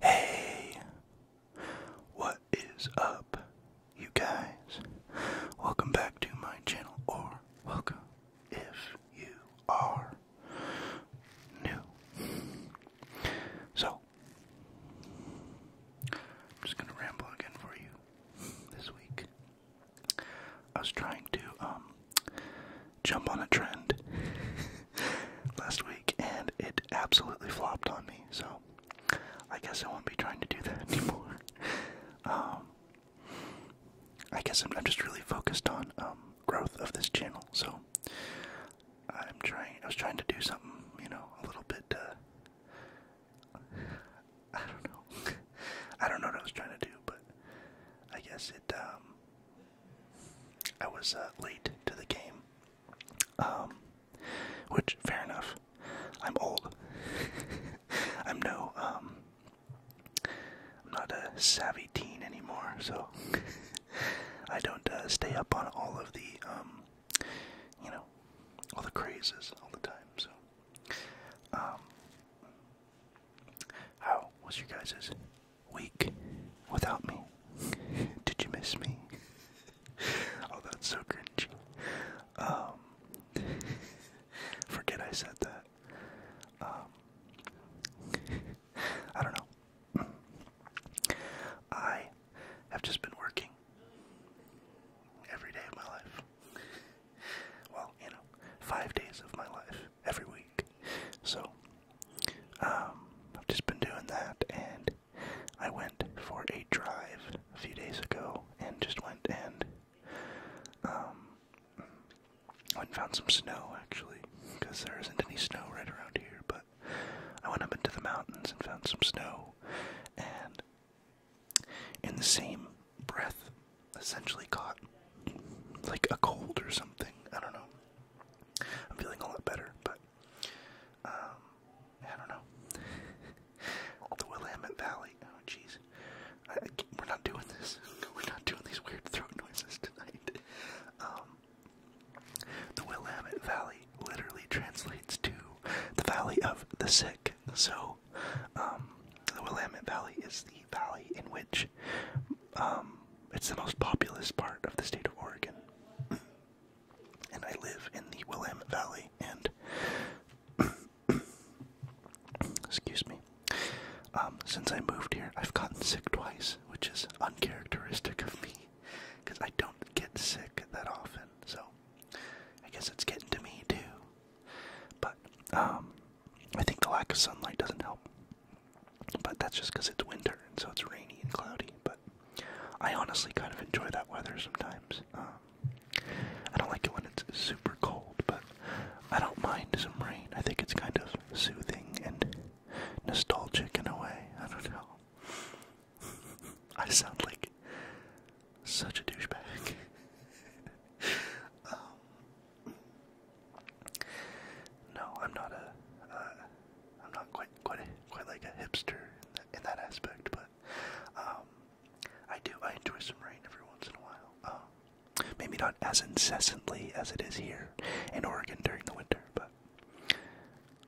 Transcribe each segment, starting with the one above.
Hey, what is up, you guys? Welcome back to my channel, or welcome if you are new. So, I'm just gonna ramble again for you this week. I was trying to um, jump on a trend last week and it absolutely flopped on me, so I guess I won't be trying to do that anymore. Um, I guess I'm, just really focused on um, growth of this channel, so I'm trying. I was trying to do something, you know, a little bit. Uh, I don't know. I don't know what I was trying to do, but I guess it. Um, I was uh, late to the game, um, which fair enough. I'm old. I'm no um I'm not a savvy teen anymore, so I don't uh, stay up on all of the um you know all the crazes all the time. So um how was your guys's week without me. Did you miss me? oh, that's so cringy. Um, forget I said that. Um, I don't know. I have just been working every day of my life. Well, you know, five days of my life every week. So um, I've just been doing that, and I went for a drive a few days ago, and just went and um, went and found some snow actually, because there isn't any snow right around here. But I went up into the mountains and found some snow, and in the same breath, essentially caught like a cold or something. I don't know. I'm feeling a lot better, but um, I don't know. the Willamette Valley. Oh, jeez. We're not doing this. We're not doing these weird throat noises tonight. Um, the Willamette Valley literally translates to the Valley of the Sick. So, um, the Willamette Valley is the valley in which um, it's the most populous part of the state of Oregon. and I live in the Willamette Valley, and excuse me. Um, since I moved here, I've gotten sick twice, which is uncharacteristic of me, because I don't get sick that often. So I guess it's getting to me too. But um, I think the lack of sunlight doesn't help. But that's just because it's winter and so it's rainy and cloudy. But I honestly kind of enjoy that weather sometimes. Um, I don't like it when it's super cold, but I don't mind some rain. I think it's kind of soothing and nostalgic in a way. I don't know. I sound like such a douchebag. Um, no, I'm not a. I'm not quite quite quite like a hipster in that, aspect, but um, I do I enjoy some rain every once in a while. Um, maybe not as incessantly as it is here in Oregon during the winter, but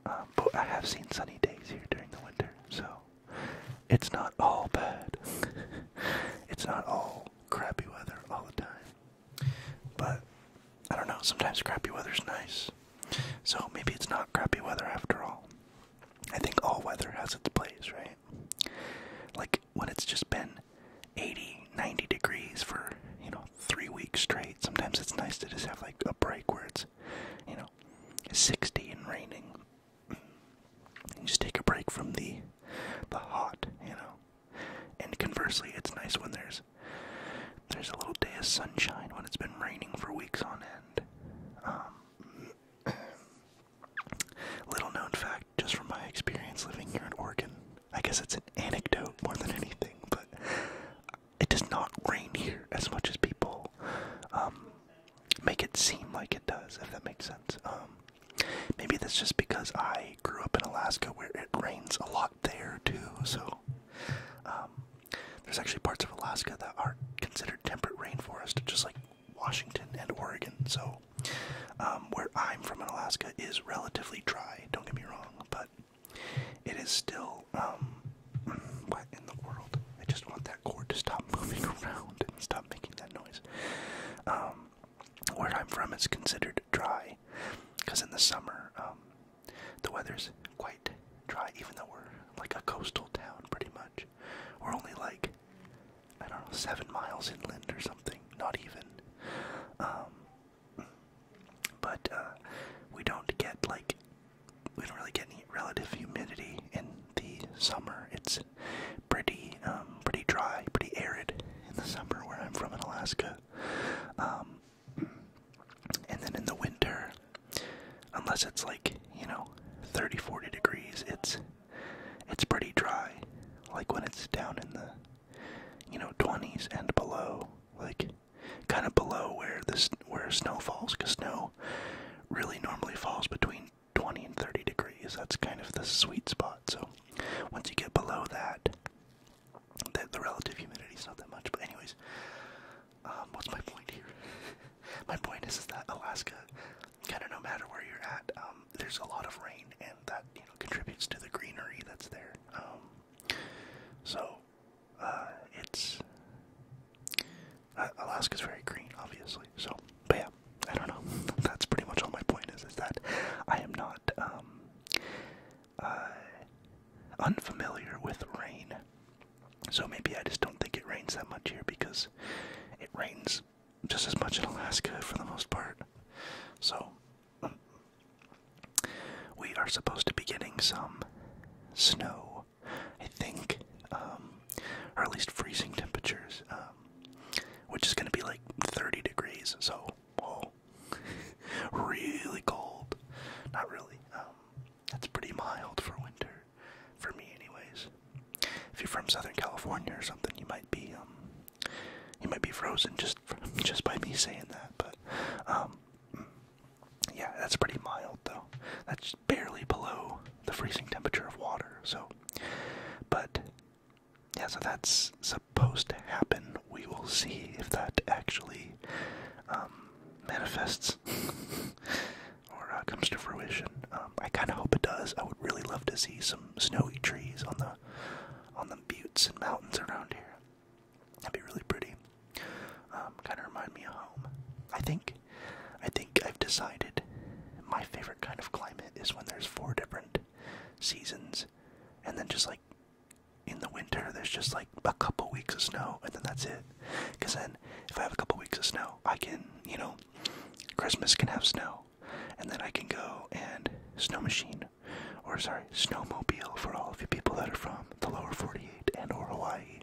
um, but I have seen sunny days here during the winter, so it's not all bad. it's not all crappy weather all the time. But I don't know, sometimes crappy weather's nice. So maybe it's not crappy weather after all. I think all weather has its place, right? Like when it's just been 80, 90 degrees for, you know, three weeks straight, sometimes it's nice to just have like a break where it's, you know, 60 and raining. And just take a break from the the hot, you know. And conversely, it's nice when there's there's a little day of sunshine when it's been raining for weeks on end. Um, little known fact, just from my experience living here in Oregon, I guess it's an anecdote more than anything, but it does not rain here as much as people um, make it seem like it does, if that makes sense. Um, maybe that's just because I grew up in Alaska where it rains a lot there too, so um, there's actually parts of Alaska that are considered temperate rainforest, just like Washington and Oregon. So, um, where I'm from in Alaska is relatively dry. Don't get me wrong, but it is still um, in the world? I just want that cord to stop moving around and stop making that noise. Um, where I'm from, is considered dry because in the summer um, the weather's quite dry even though we're like a coastal town pretty much we're only like i don't know seven miles inland or something not even um, but uh, we don't get like we don't really get any relative humidity in the summer it's pretty um, pretty dry pretty arid in the summer where i'm from in alaska and then in the winter, unless it's like, you know, 30 40 degrees, it's it's pretty dry. Like when it's down in the you know, 20s and below, like kind of below where this where snow falls cuz snow really normally falls between 20 and 30 degrees. That's kind of the sweet spot. So once you get below that, the, relative humidity is not that much, but anyways, um, what's my point here? my point is, is that Alaska, kind of no matter where you're at, um, there's a lot of rain, and that you know contributes to the greenery that's there. Um, so uh, it's uh, Alaska's very green, obviously. So, but yeah, I don't know. that's pretty much all my point is. Is that I am not. Um, uh, unfamiliar with rain. So maybe I just don't think it rains that much here because it rains just as much in Alaska for the most part. So we are supposed to be getting some snow, I think, um, or at least freezing temperatures, um, which is going to be like 30 degrees. So whoa, really cold. Not really. Um, that's pretty mild for winter, for me, anyways. If you're from Southern California or something, you might be um, you might be frozen just just by me saying that. But um, mm, yeah, that's pretty mild though. That's barely below the freezing temperature of water. So, but. Yeah, so that's supposed to happen we will see if that actually um, manifests or uh, comes to fruition. Um, I kind of hope it does. I would really love to see some snowy trees on the on the buttes and mountains around here. That'd be really pretty. Um, kind of remind me of home. I think I think I've decided my favorite kind of climate is when there's four different seasons and then just like in the winter there's just like a couple weeks of snow and then that's it because then if i have a couple weeks of snow i can you know christmas can have snow and then i can go and snow machine or sorry snowmobile for all of you people that are from the lower 48 and or hawaii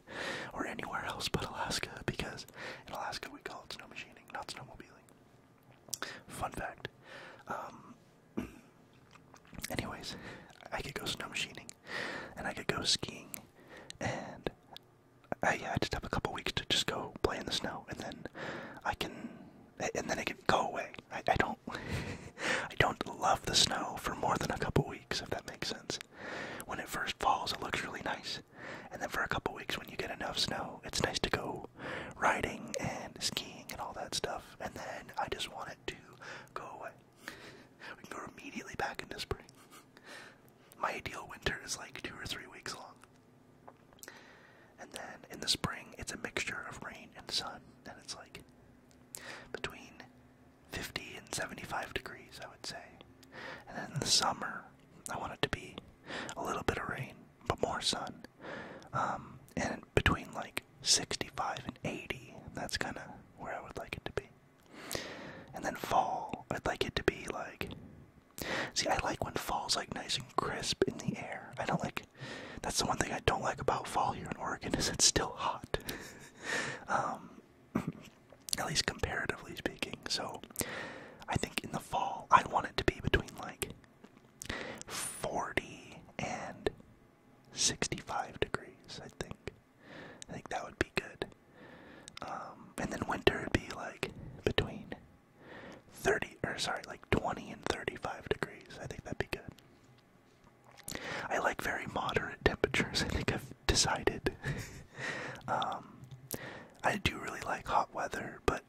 or anywhere else but alaska because in alaska we call it snow machining not snowmobiling fun fact um, Anyways, I could go snow machining, and I could go skiing, and I, yeah, I just have a couple weeks to just go play in the snow, and then I can, and then I can go away. I, I don't, I don't love the snow for more than a couple weeks, if that makes sense. When it first falls, it looks really nice, and then for a couple weeks, when you get enough snow, it's nice to go riding and skiing and all that stuff, and then I just want it to go away. We can go immediately back into spring. My ideal winter is like two or three weeks long. And then in the spring, it's a mixture of rain and sun, and it's like between 50 and 75 degrees, I would say. And then in the summer, I want it to be a little bit of rain, but more sun. Um, and between like 65 and 80. That's kind of where I would like it to be. And then fall, I'd like it to be like. See, I like when fall's like nice and crisp in the air. I don't like. That's the one thing I don't like about fall here in Oregon is it's still hot. um, at least comparatively speaking. So, I think in the fall I want it to be between like 40 and 65 degrees, I think. I think that would be good. Um, and then winter would be like between 30, or sorry, like 20 and 35 degrees. I think that'd be good. I like very moderate temperatures, I think I've decided. Um, I do really like hot weather, but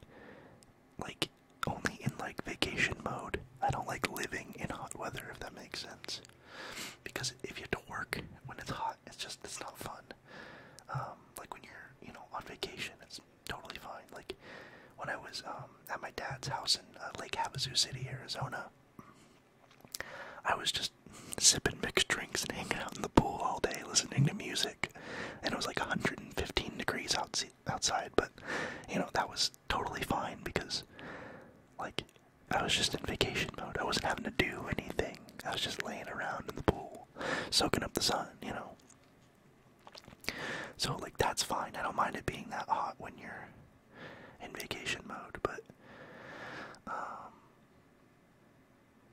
like only in like vacation mode. I don't like living in hot weather, if that makes sense. Because if you have to work when it's hot, it's just it's not fun. Um, like when you're, you know, on vacation, it's totally fine. Like when I was um, at my dad's house in uh, Lake Havasu City, Arizona, I was just sipping mixed drinks and hanging out in the pool all day, listening to music, and it was like 115 degrees Outside, but you know that was totally fine because, like, I was just in vacation mode. I wasn't having to do anything. I was just laying around in the pool, soaking up the sun, you know? So, like, that's fine. I don't mind it being that hot when you're in vacation mode, but, um,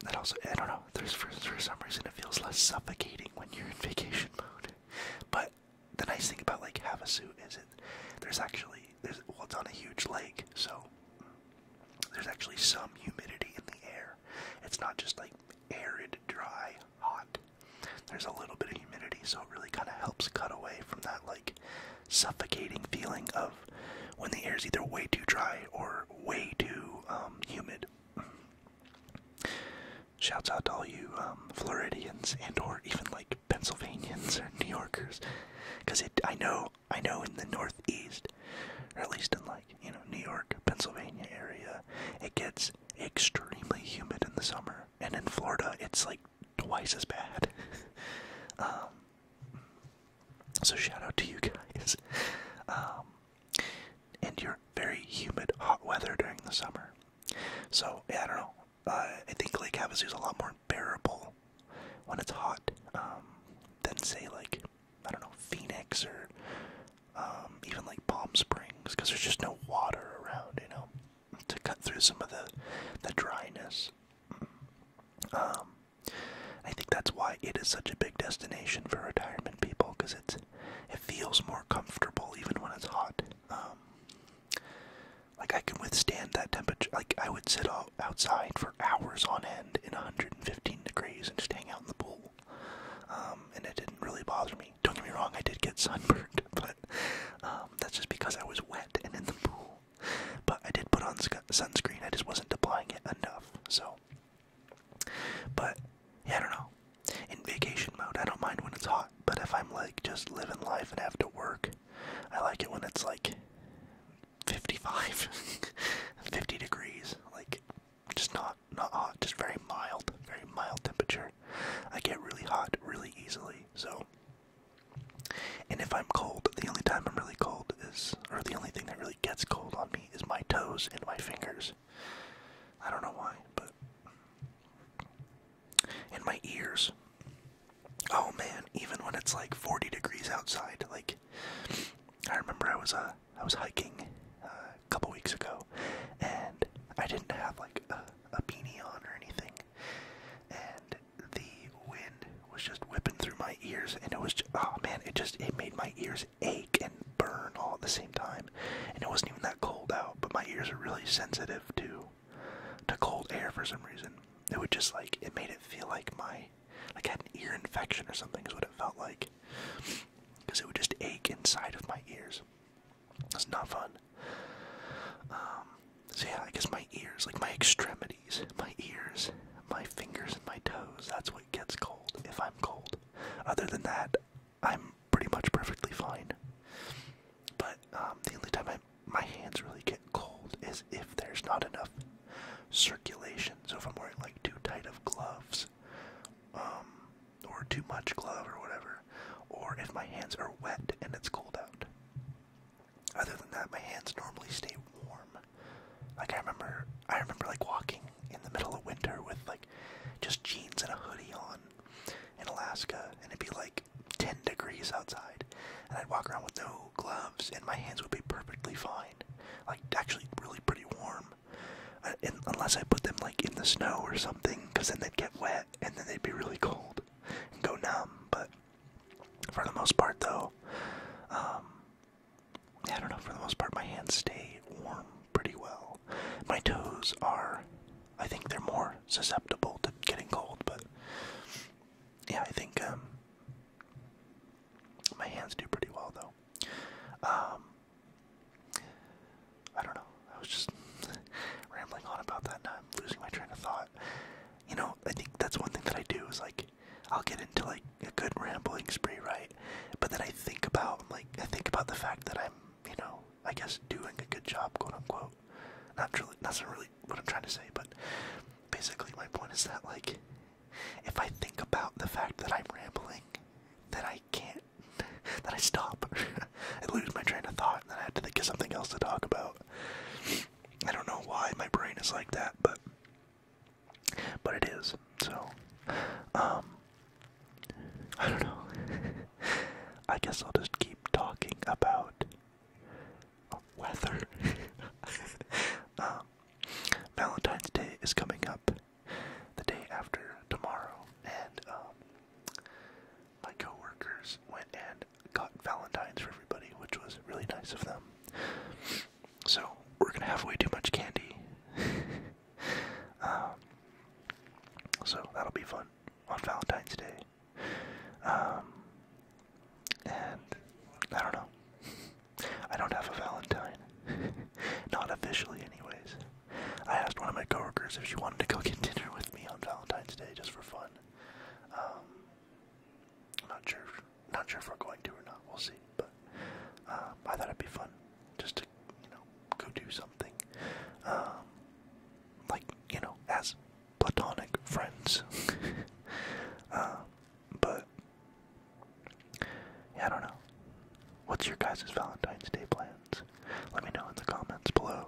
that also, I don't know, there's for some reason it feels less suffocating when you're in vacation mode. But the nice thing about like Havasu is it there's actually there's well it's on a huge lake, so there's actually some humidity in the air. It's not just like arid, dry, hot. There's a little bit of humidity, so it really kind of helps cut away from that like suffocating feeling of when the air is either way too dry or way too um, humid. Shouts out to all you um, Floridians and or even like Pennsylvanians or New Yorkers, because it I know I know in the Northeast, or at least in like you know New York, Pennsylvania area, it gets extremely humid in the summer, and in Florida it's like twice as bad. Um, so shout out to you guys, um, and your very humid hot weather during the summer. So yeah, I don't know. Uh, I think Lake Havasu is a lot more bearable when it's hot um, than, say, like, I don't know, Phoenix or um, even like Palm Springs because there's just no water around, you know, to cut through some of the, the dryness. Mm. Um, I think that's why it is such a big destination for retirement people because it's it feels more comfortable even when it's hot. Like I can withstand that temperature. Like I would sit out outside for hours on end in 115 degrees and just hang out in the pool, um, and it didn't really bother me. Don't get me wrong, I did get sunburned, but um, that's just because I was wet and in the pool. But I did put on sunscreen. I just wasn't applying it enough. So, but yeah, I don't know. In vacation mode, I don't mind when it's hot, but if I'm like just living life and have to work, I like it when it's like 55, 50 degrees, like just not not hot, just very mild, very mild temperature. I get really hot really easily, so. And if I'm cold, the only time I'm really cold is, or the only thing that really gets cold on me is my toes and my fingers. I don't know why, but in my ears. Oh man, even when it's like 40 degrees outside, like I remember I was uh was hiking uh, a couple weeks ago, and I didn't have like a, a beanie on or anything, and the wind was just whipping through my ears, and it was just, oh man, it just it made my ears ache and burn all at the same time, and it wasn't even that cold out, but my ears are really sensitive too to cold air for some reason. It would just like it made it feel like my like I had an ear infection or something is what it felt like. Because it would just ache inside of my ears. It's not fun. Um, so yeah, I guess my ears, like my extremities, my ears, my fingers and my toes, that's what gets cold if I'm cold. Other than that, I'm pretty much perfectly fine. But um, the only time I, my hands really get cold is if there's not enough circulation. So if I'm wearing like too tight of gloves, um, or too much glove or whatever, or if my hands are wet and it's cold out. Other than that, my hands normally stay warm. Like I remember, I remember like walking in the middle of winter with like just jeans and a hoodie on in Alaska, and it'd be like 10 degrees outside, and I'd walk around with no gloves, and my hands would be perfectly fine. Like, actually, really pretty warm. Uh, unless I put them, like, in the snow or something, because then they'd get wet, and then they'd be really cold and go numb. But for the most part, though, um, I don't know, for the most part, my hands stay warm pretty well. My toes are I think they're more susceptible to getting cold, but yeah, I think um, my hands do pretty well though. Um, I don't know. I was just rambling on about that, and I'm losing my train of thought. You know, I think that's one thing that I do is like I'll get into like a good rambling spree, right? But then I think about like I think about the fact that I'm, you know, I guess, doing a good job, quote unquote. Not truly, that's not really what I'm trying to say, but basically, my point is that, like, if I think about the fact that I'm rambling, then I can't, Then I stop, I lose my train of thought, and then I have to think of something else to talk about. I don't know why my brain is like that, but but it is. So, um, I don't know. I guess I'll just keep talking about weather. Um, Valentine's Day is coming up the day after tomorrow, and um, my coworkers went and got Valentine's for everybody, which was really nice of them. So we're gonna have way too much candy. Um, so that'll be fun on Valentine's Day. Um, and I don't know. I don't have a Valentine. Not officially, anyways. I asked one of my coworkers if she wanted to go get dinner with me on Valentine's Day just for fun. Um, I'm not sure. Not sure if we're going to or not. We'll see. But um, I thought it'd be fun just to, you know, go do something. Um, like you know, as platonic friends. Uh, but I don't know. What's your guys' Valentine's Day plans? Let me know in the comments below.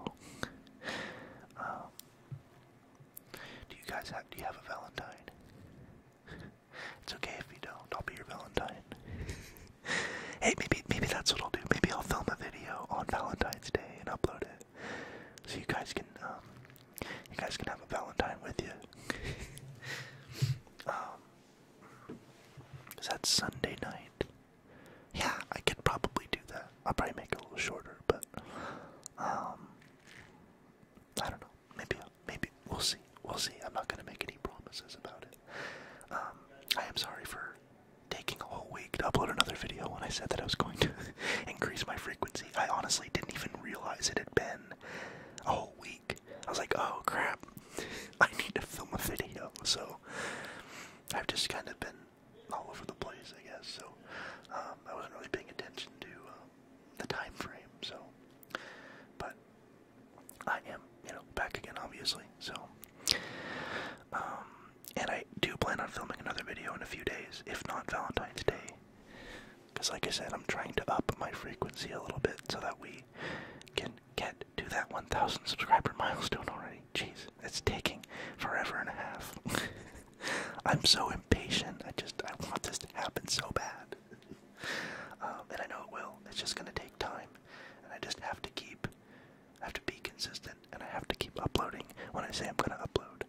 Uh, do you guys have? Do you have a Valentine? it's okay if you don't. I'll be your Valentine. hey, maybe maybe that's what I'll do. Maybe I'll film a video on Valentine's Day and upload it. So you guys can, um, you guys can have a Valentine with you. um, is that Sunday night? Yeah, I could probably do that. I'll probably make it a little shorter, but, um, I don't know. Maybe, maybe we'll see. We'll see. I'm not gonna make any promises about it. Um, I am sorry for taking a whole week to upload another video when I said that I was going to increase my frequency. I honestly didn't even realize it had been a whole week. I was like, oh crap, I need to film a video. So I've just kind of been all over the place, I guess. So um, I wasn't really paying attention to um, the time frame. So, but I am, you know, back again, obviously. So, um, and I do plan on filming another video in a few days, if not Valentine's Day. Because, like I said, I'm trying to up my frequency a little bit so that we can get to that 1,000 subscriber milestone already. Jeez, it's taking forever and a half. I'm so impatient. I just I want this to happen so bad, um, and I know it will. It's just gonna take time, and I just have to keep I have to be consistent and I have to keep uploading when I say I'm gonna upload.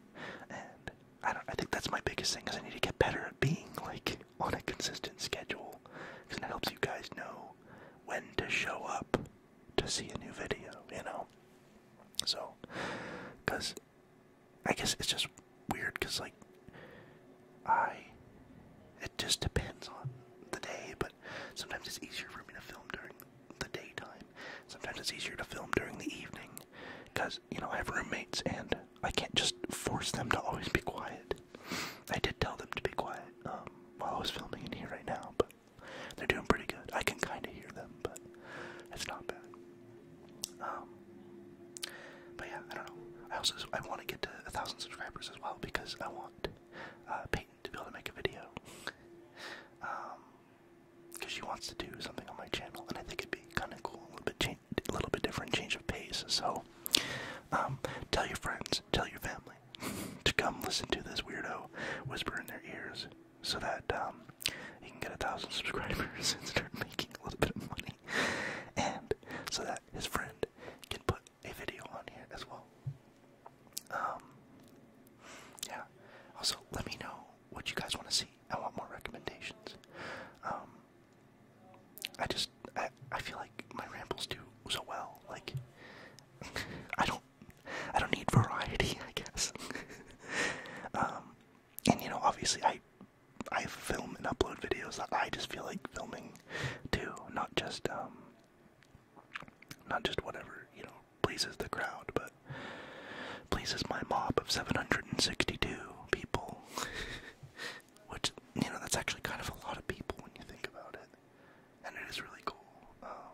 And I don't I think that's my biggest thing is I need to get better at being like on a consistent schedule because it helps you guys know when to show up to see a new video, you know. So, because I guess it's just weird because like I it just depends on the day, but sometimes it's easier for me to film during the daytime. Sometimes it's easier to film during the evening because, you know, I have roommates and I can't just force them to always be quiet. I did tell them to be quiet um, while I was filming in here right now, but they're doing pretty good. I can kind of hear them, but it's not bad. Um, but yeah, I don't know. I also I want to get to a thousand subscribers as well because I want uh, Peyton to be able to make a video. Um, because she wants to do something on my channel, and I think it'd be kind of cool, a little bit, change, a little bit different change of pace. So, um, tell your friends, tell your family to come listen to this weirdo whisper in their ears, so that you um, can get a thousand subscribers and start making a little bit of money, and so that his friend can put a video on here as well. Um, yeah. Also, let me know what you guys want to see. I want more recommendations. Um, I just I, I feel like my rambles do so well. Like I don't I don't need variety, I guess. Um, and you know, obviously, I I film and upload videos that I just feel like filming too, not just um, not just whatever you know pleases the crowd, but pleases my mob of 762 people. Which, you know, that's actually kind of a lot of people when you think about it. And it is really cool. Um,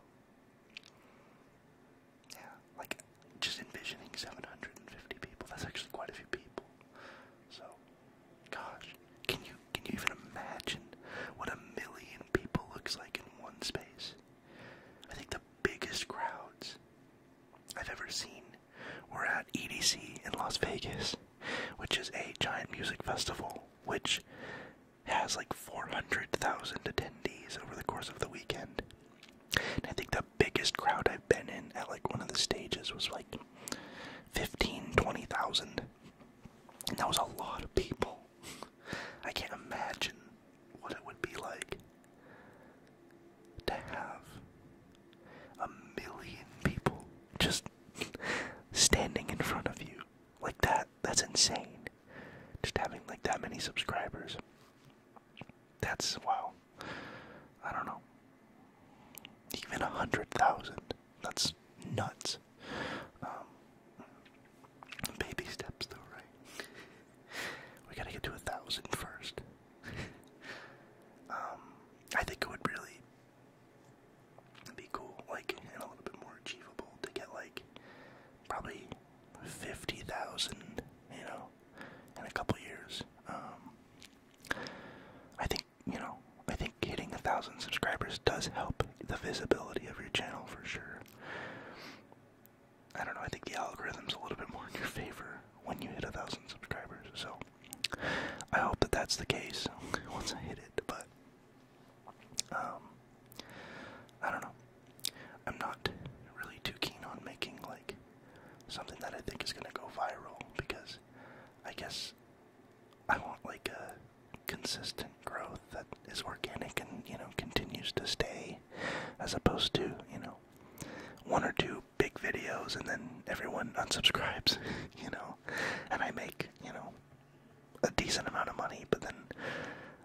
yeah, like just envisioning 750 people, that's actually quite a few people. So, gosh, can you can you even imagine what a million people looks like in one space? I think the biggest crowds I've ever seen were at EDC in Las Vegas, which is a giant music festival which has like 400,000 attendees over the course of the weekend. And I think the biggest crowd I've been in at like one of the stages was like 15, 20,000. And that was a lot of people. I can't imagine what it would be like to have a million people just standing in front of you like that that's insane just having like that many subscribers that's wow i don't know even a hundred thousand that's nuts um, Baby steps, though, right? We gotta get to a thousand first. um, I think it would really be cool, like, and a little bit more achievable to get, like, probably 50,000, you know, in a couple years. Um, I think, you know, I think hitting a thousand subscribers does help the visibility of your channel for sure. I don't know, I think the algorithm's a little bit more in your favor when you hit a thousand subscribers. So I hope that that's the case once I hit it. But um, I don't know. I'm not really too keen on making like something that I think is gonna go viral because I guess I want like a consistent growth that is organic and you know continues to stay as opposed to you know one or two big videos and then everyone unsubscribes you know and i make you know a decent amount of money but then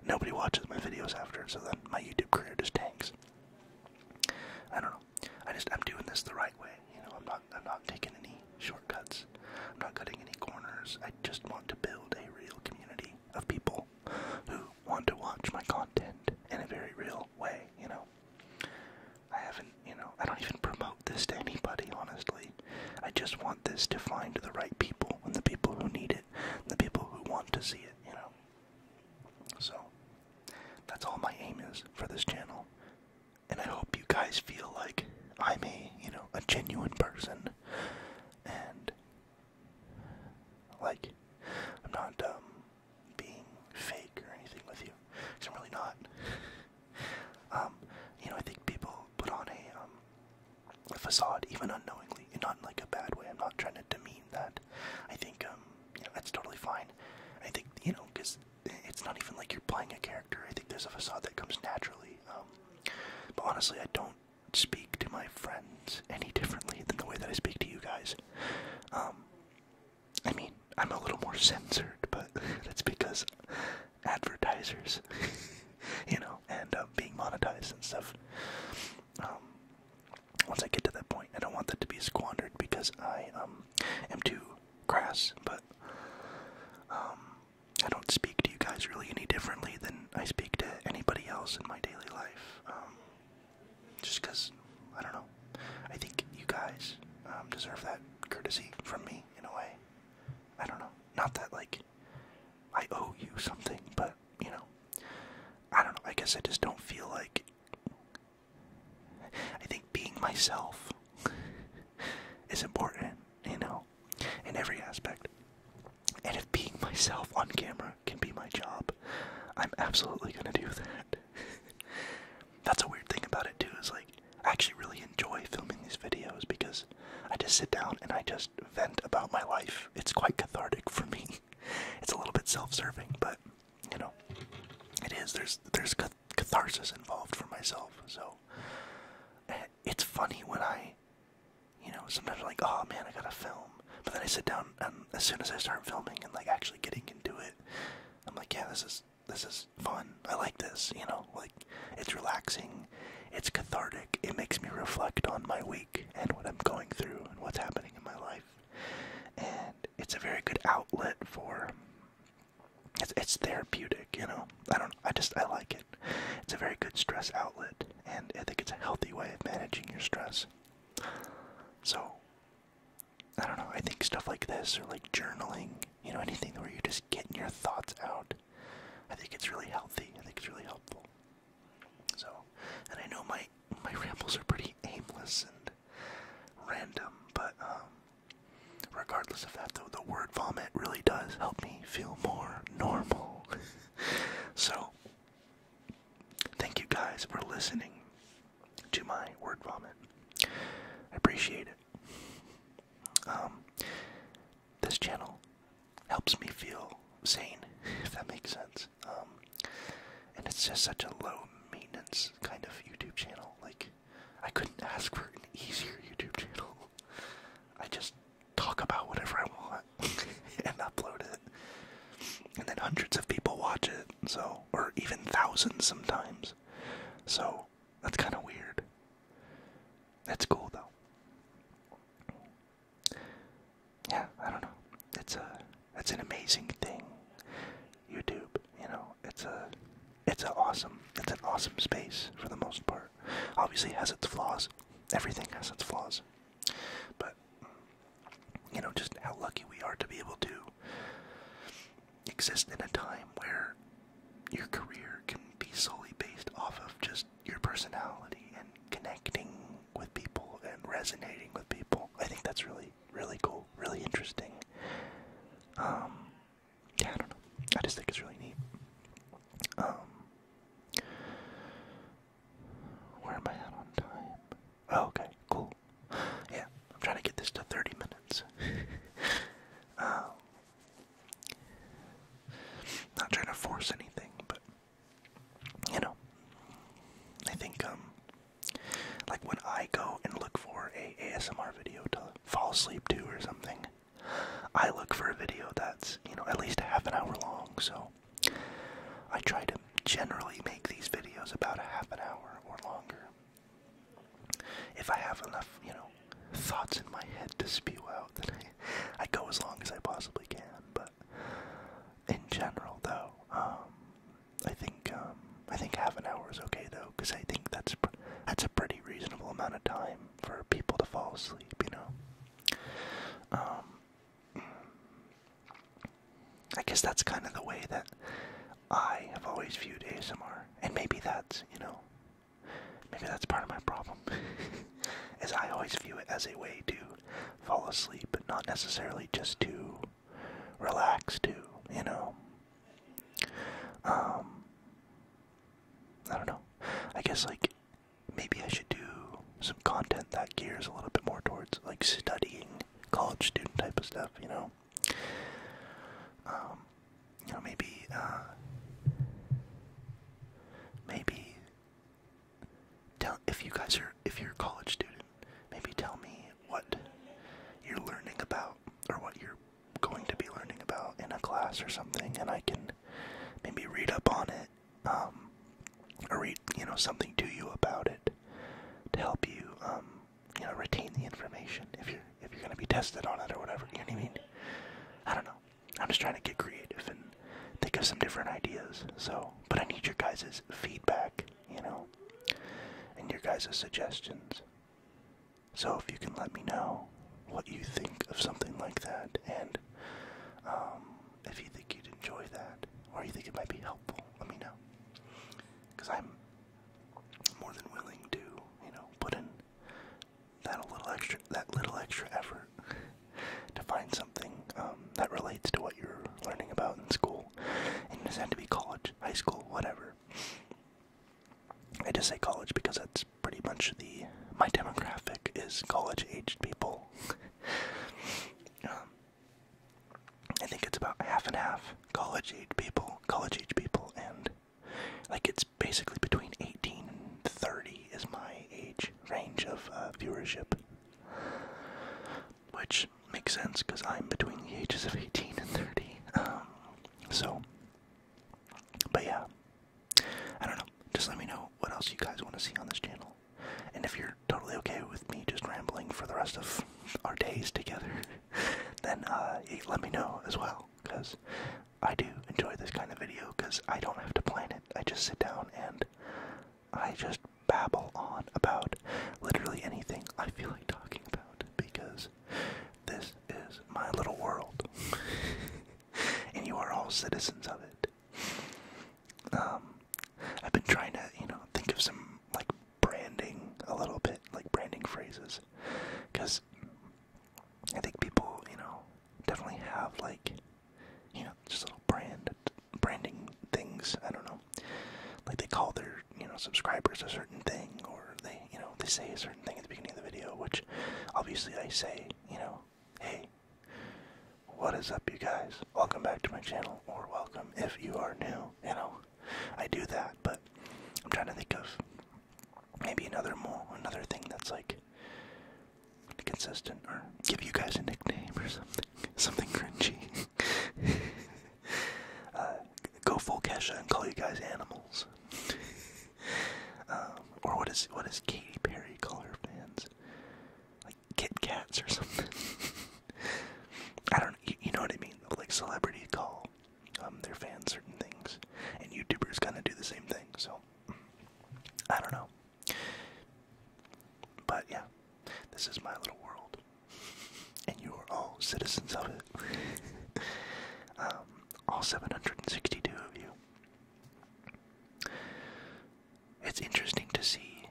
nobody watches my videos after so then my youtube career just tanks i don't know i just i'm doing this the right way you know i'm not i'm not taking any shortcuts i'm not cutting any corners i just want to build a real community of people who want to watch my content in a very real way, you know. I haven't, you know, I don't even promote this to anybody, honestly. I just want this to find the right people and the people who need it, and the people who want to see it, you know. So, that's all my aim is for this channel. And I hope you guys feel like I'm a, you know, a genuine person and like, I'm not um, being fake or anything with you, because I'm really not. um, you know, I think people put on a, um, facade, even unknowingly, and not in like a bad way. I'm not trying to demean that. I think um, you know, that's totally fine. I think you know, because it's not even like you're playing a character. I think there's a facade that comes naturally. Um, but honestly, I don't speak to my friends any differently than the way that I speak to you guys. Um, I mean, I'm a little more censored, but that's because advertisers, you know, end up being monetized and stuff. Um, once I get to that point, I don't want that to be squandered because I um, am too crass, but I don't speak to you guys really any differently than I speak to anybody else in my daily life. Um, just because, I don't know. I think you guys um, deserve that courtesy from me in a way. I don't know. Not that, like, I owe you something, but, you know, I don't know. I guess I just don't feel like. I think being myself is important, you know, in every aspect. And if being myself on camera can be my job, I'm absolutely gonna do that. That's a weird thing about it too, is like I actually really enjoy filming these videos because I just sit down and I just vent about my life. It's quite cathartic for me. It's a little bit self-serving, but you know, it is. There's there's catharsis involved for myself, so eh, it's funny when I you know, sometimes I'm like, oh man, I gotta film. But then I sit down and as soon as I start filming and like actually getting into it, I'm like, yeah, this is this is fun. I like this, you know, like it's relaxing, it's cathartic, it makes me reflect on my week and what I'm going through and what's happening in my life. And it's a very good outlet for it's it's therapeutic, you know. I don't I just I like it. It's a very good stress outlet and I think it's a healthy way of managing your stress. So, I don't know, I think stuff like this or like journaling, you know, anything where you're just getting your thoughts out, I think it's really healthy. I think it's really helpful. So, and I know my my rambles are pretty aimless and random, but um, regardless of that, though, the word vomit really does help me feel more normal. so, Thank you guys for listening to my word vomit. I appreciate it. Um, this channel helps me feel sane, if that makes sense. Um, and it's just such a low maintenance kind of YouTube channel. Like, I couldn't ask for an easier YouTube channel. I just talk about whatever I want and upload it. And then hundreds of people watch it, so or even thousands sometimes. So that's kind of weird. That's cool though. Yeah, I don't know. It's a it's an amazing thing. YouTube, you know, it's a it's an awesome it's an awesome space for the most part. Obviously has its flaws. Everything has its flaws. But you know, just how lucky we are to be able to exist in a time where your career can be solely based off of just your personality and connecting with people and resonating with people. I think that's really, really cool, really interesting. Um, yeah, I don't know. I just think it's really neat. Um, where am I at on time? Oh, okay, cool. Yeah, I'm trying to get this to 30 minutes. um, not trying to force anything, but you know, I think um, like when I go and look for a ASMR video to fall asleep to or something, I look for a video that's you know at least half an hour long. So I try to generally make these videos about a half an hour or longer. If I have enough, you know, thoughts in my head to spew out, then I, go as long as I possibly can. But in general, though, um, I think um, I think half an hour is okay, though, because I think that's that's a pretty reasonable amount of time for people to fall asleep, you know. Um, I guess that's kind of the way that I have always viewed ASMR. And maybe that's, you know, maybe that's part of my problem. is I always view it as a way to fall asleep, but not necessarily just to relax to, you know. Um I don't know. I guess like maybe I should do some content that gears a little bit more towards like studying, college student type of stuff, you know. Um, you know, maybe, uh, maybe tell if you guys are if you're a college student, maybe tell me what you're learning about or what you're going to be learning about in a class or something, and I can maybe read up on it um, or read you know something to you about it to help you um, you know retain the information if you're if you're gonna be tested on it or whatever. You know what I mean? I don't know. I'm just trying to get creative and think of some different ideas. So, but I need your guys' feedback, you know, and your guys' suggestions. So if you can let me know what you think of something like that, and um, if you think you'd enjoy that or you think it might be helpful, let me know. Because I'm more than willing to, you know, put in that little extra, that little extra effort to find something um, that relates to what you're learning about in school. And it doesn't have to be college, high school, whatever. I just say college because that's pretty much the my demographic is college-aged people. Um, I think it's about half and half college age people, college age people, and like it's basically between 18 and 30 is my age range of uh, viewership, which makes sense because I'm between the ages of 18 and 30. Um, so, but yeah, I don't know. Just let me know what else you guys want to see on this channel. And if you're totally okay with me just rambling for the rest of our days together, then uh, let me know as well, because I do enjoy this kind of video, because I don't have to plan it. I just sit down and I just babble on about literally anything I feel like talking about, because this is my little world. and you are all citizens of it. Um, I've been trying to, you know, think of some like branding a little bit, like branding phrases, because I think people, you know, definitely have like, you know, just little brand branding things. I don't know, like they call their, you know, subscribers a certain thing, or they, you know, they say a certain thing at the beginning of the video, which obviously I say, you know, Hey, what is up, you guys? Welcome back to my channel, or welcome if you are new. You know, I do that, but I'm trying to think of maybe another more another thing that's like consistent, or give you guys a nickname or something, something cringy. Uh, go full Kesha and call you guys animals. um, or what is what does Katy Perry call her fans? like Kit Kats or something. I don't, you, know what I mean? Like celebrities call um, their fans certain things, and YouTubers kind of do the same thing. So I don't know, but yeah, this is my little world, and you are all citizens of it. um, all 762 of you it's interesting to see,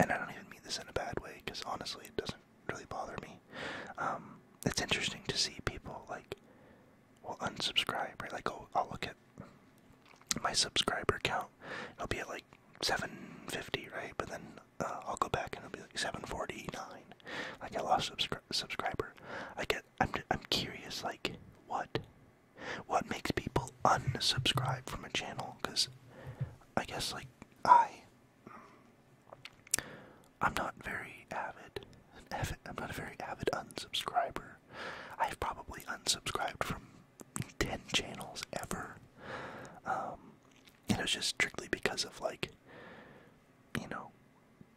and I don't even mean this in a bad way because honestly, it doesn't really bother me. Um, it's interesting to see people like will unsubscribe, right? Like, oh, I'll look at my subscriber count, it'll be at like 750, right? But then uh, I'll go back and it'll be like 749. Like I lost subscriber. I get. I'm. I'm curious. Like what what makes people unsubscribe from a channel? Because I guess, like, I. I'm not very avid. avid. I'm not a very avid unsubscriber. I've probably unsubscribed from 10 channels ever. Um, and it was just strictly because of, like, you know,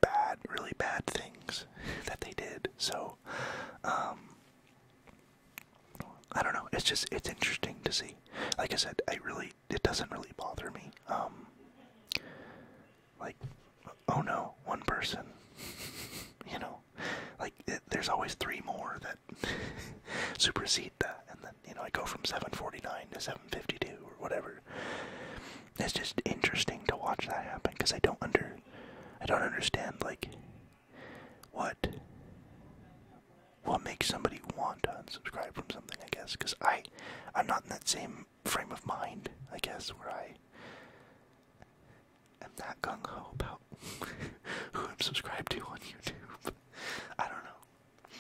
bad, really bad things that they did. So, um, I don't know. It's just it's interesting to see. Like I said, I really it doesn't really bother me. Um, like, oh no, one person. you know, like there's always three more that supersede that, and then you know I go from 749 to 752 or whatever. It's just interesting to watch that happen because I don't under, I don't understand like what what makes somebody want to unsubscribe from something i guess because i i'm not in that same frame of mind i guess where i am that gung-ho about who i'm subscribed to on youtube i don't know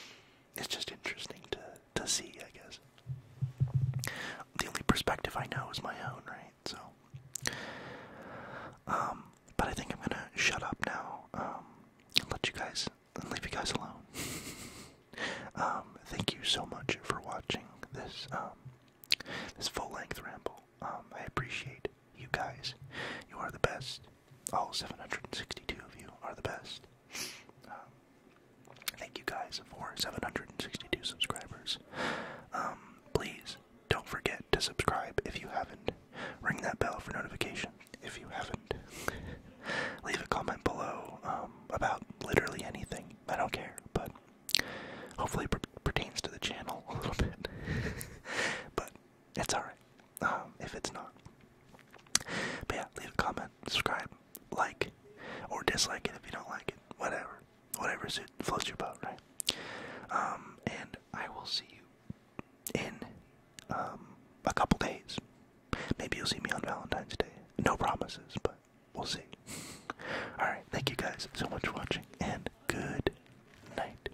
it's just interesting to to see i guess the only perspective i know is my own right so um, but I think I'm gonna shut up now um, let you guys leave you guys alone. um, thank you so much for watching this um, this full length ramble. Um, I appreciate you guys. You are the best. All 762 of you are the best. Um, thank you guys for 762 subscribers. Um, please don't forget to subscribe if you haven't. Ring that bell for notification if you haven't. Leave a comment below um, about literally anything. I don't care, but hopefully it pertains to the channel a little bit. but it's alright um, if it's not. But yeah, leave a comment, subscribe, like, or dislike it if you don't like it. Whatever whatever is it floats your boat, right? Um, and I will see you in um, a couple days. Maybe you'll see me on Valentine's Day. No promises, but we'll see. Alright, thank you guys so much for watching, and good night.